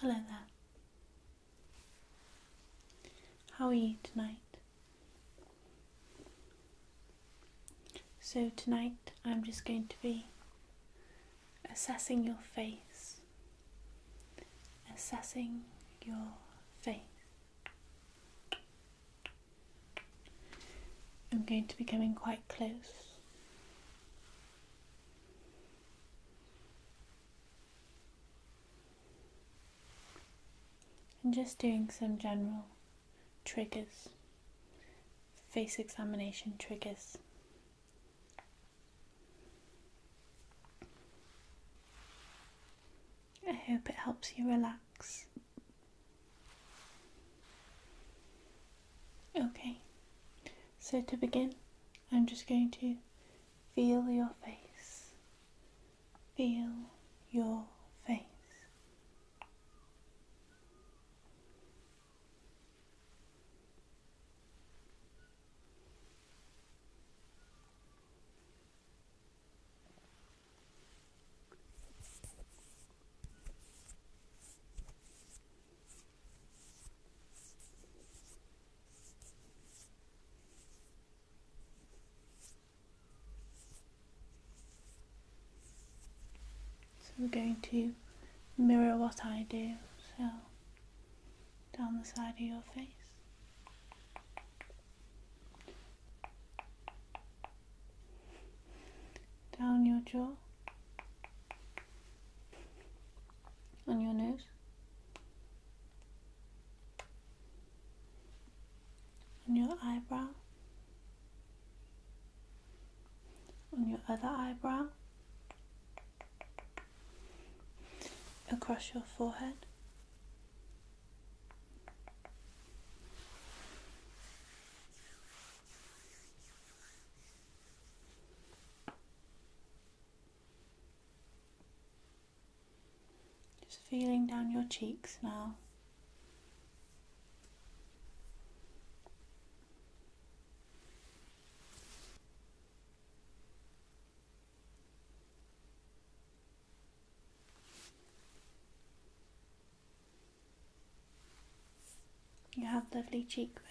Hello there. How are you tonight? So, tonight I'm just going to be assessing your face, assessing your face. I'm going to be coming quite close and just doing some general triggers, face examination triggers. I hope it helps you relax. Okay, so to begin, I'm just going to feel your face. Feel your face. So we're going to mirror what I do, so down the side of your face down your jaw, on your nose, on your eyebrow, on your other eyebrow, across your forehead. Just feeling down your cheeks now. You have lovely cheekbones.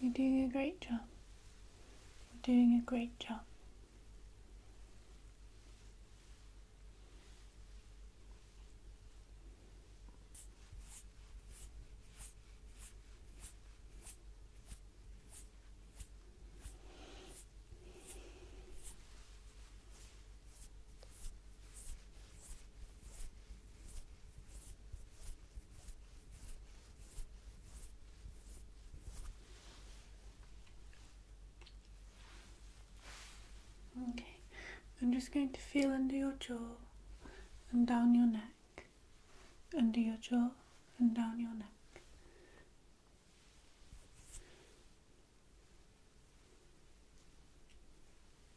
You're doing a great job. You're doing a great job. Okay, I'm just going to feel under your jaw and down your neck, under your jaw and down your neck.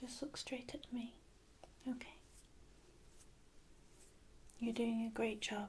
Just look straight at me. Okay. You're doing a great job.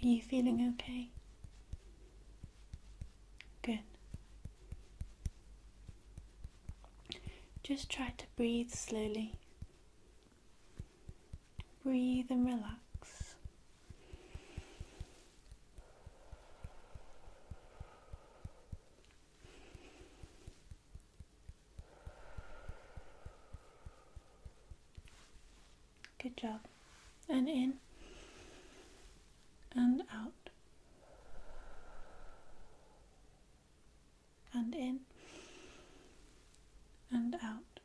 Are you feeling okay? Good. Just try to breathe slowly. Breathe and relax. Good job. And in and out. And in and out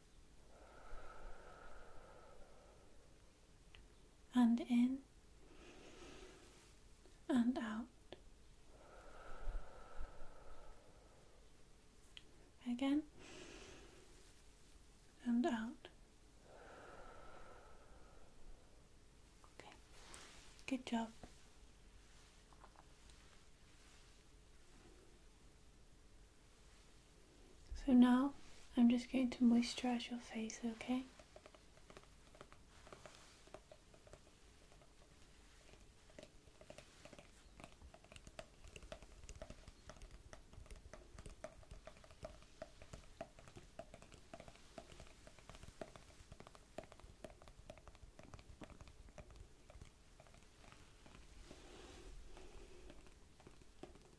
and in and out. Again and out. Okay, good job. So now I'm just going to moisturize your face, okay?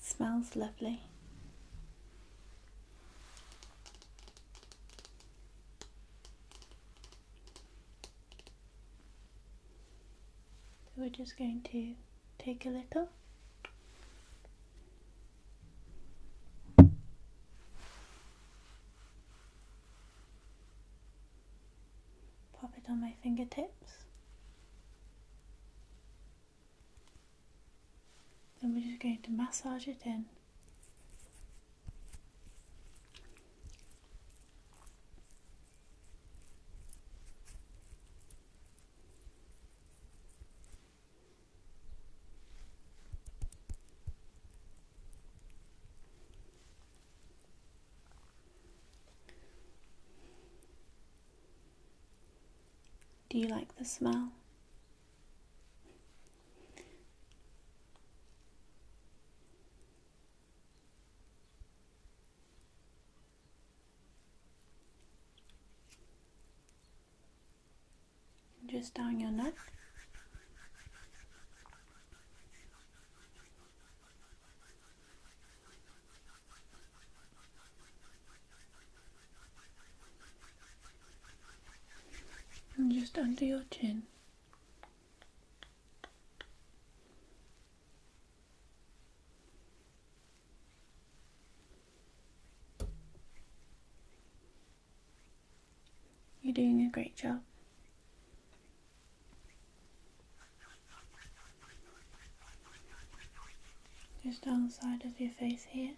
Smells lovely. So we're just going to take a little. Pop it on my fingertips. Then we're just going to massage it in. Do you like the smell? Just down your neck just under your chin. You're doing a great job. Just down the side of your face here.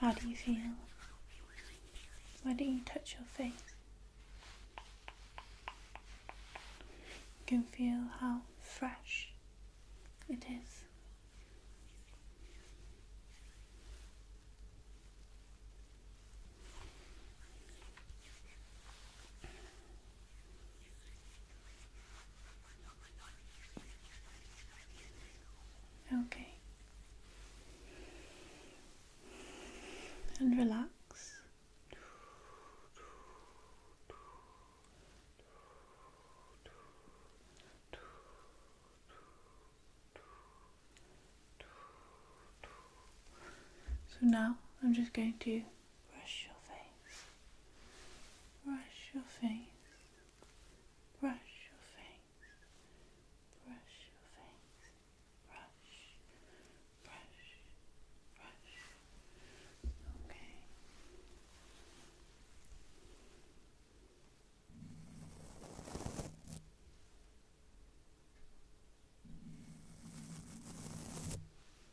How do you feel? Why do you touch your face? You can feel how fresh it is. Okay. And relax. So now I'm just going to brush your face brush your face, brush your face, brush your face, brush, brush, brush. Okay.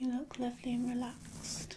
You look lovely and relaxed.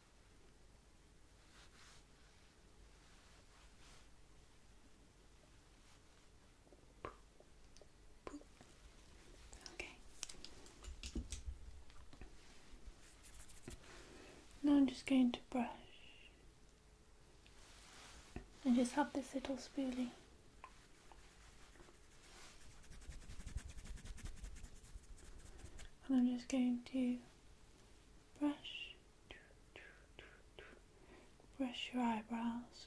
Now I'm just going to brush and just have this little spoolie. And I'm just going to brush Brush your eyebrows.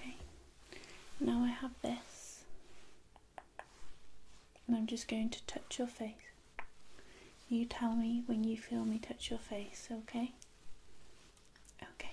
Okay, now I have this, and I'm just going to touch your face. You tell me when you feel me touch your face, okay? Okay.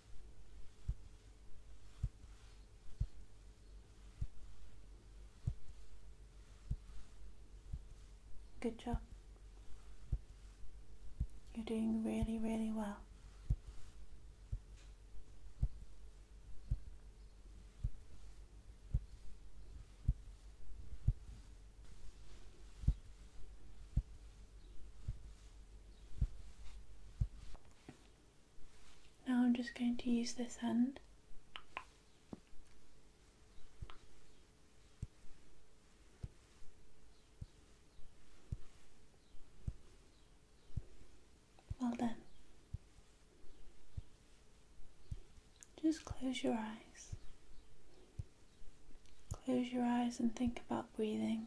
Good job. You're doing really, really well. Now I'm just going to use this end. Well done. Just close your eyes. Close your eyes and think about breathing.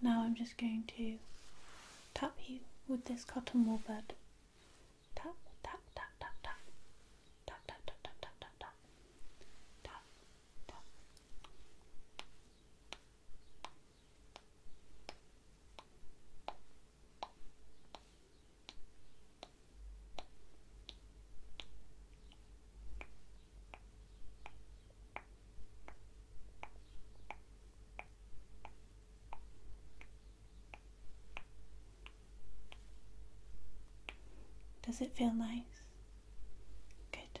Now I'm just going to tap you with this cotton wool bud. Tap, tap, tap, tap, tap. Tap, tap, tap, tap, tap, tap, tap. Tap, tap. Does it feel nice? Good.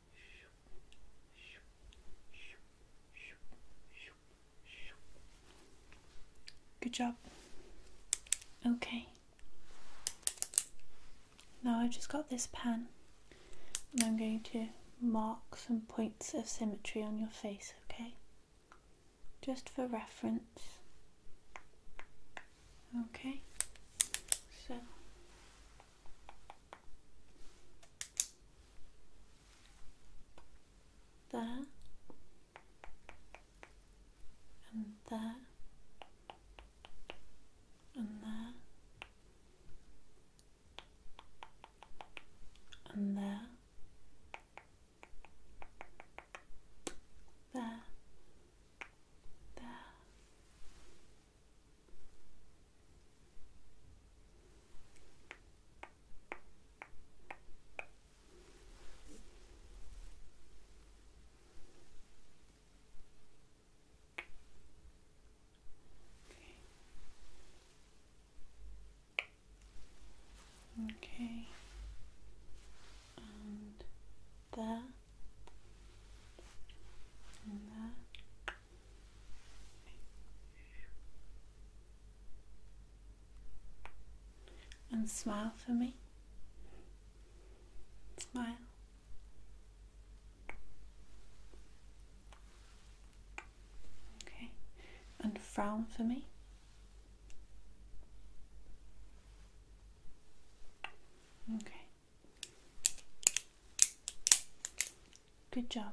Good job. Okay. Now I've just got this pen and I'm going to mark some points of symmetry on your face, okay? Just for reference. Okay. So there and there and there and there there there Okay. okay. And there and there. And smile for me. Smile. Okay. And frown for me. Okay. Good job.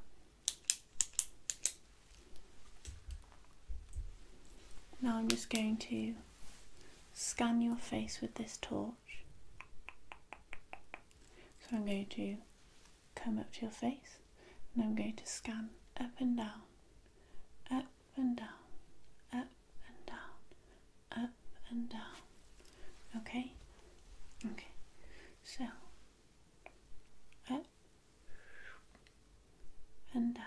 Now I'm just going to scan your face with this torch. So I'm going to come up to your face and I'm going to scan up and down, up and down, up and down, up and down. Okay? Okay. So, up and down.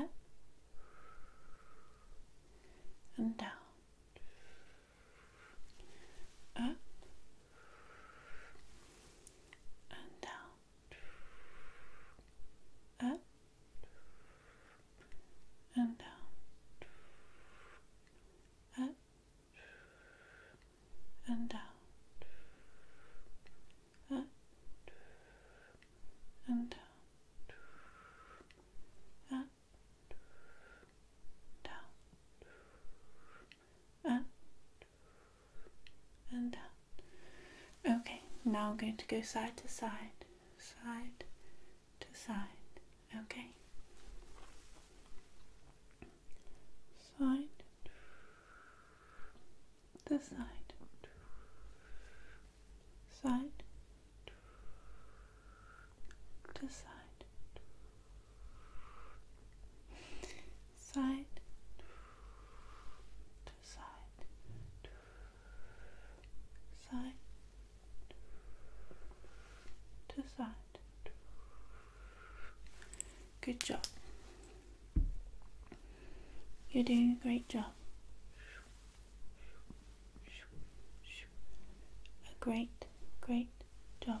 Up and down. Up and down. Up and down, up and down, up and down. Up, down, up and down. Okay, now I'm going to go side to side, side to side, okay? Side to side, side to side, side side, side to side. Good job. You're doing a great job. A great, great job.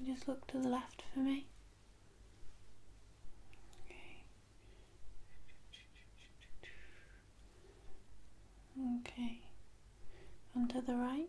You just look to the left for me. Okay. Okay. And to the right.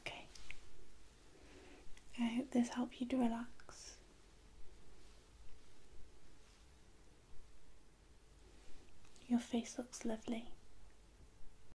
Okay. I hope this helped you to relax. Your face looks lovely.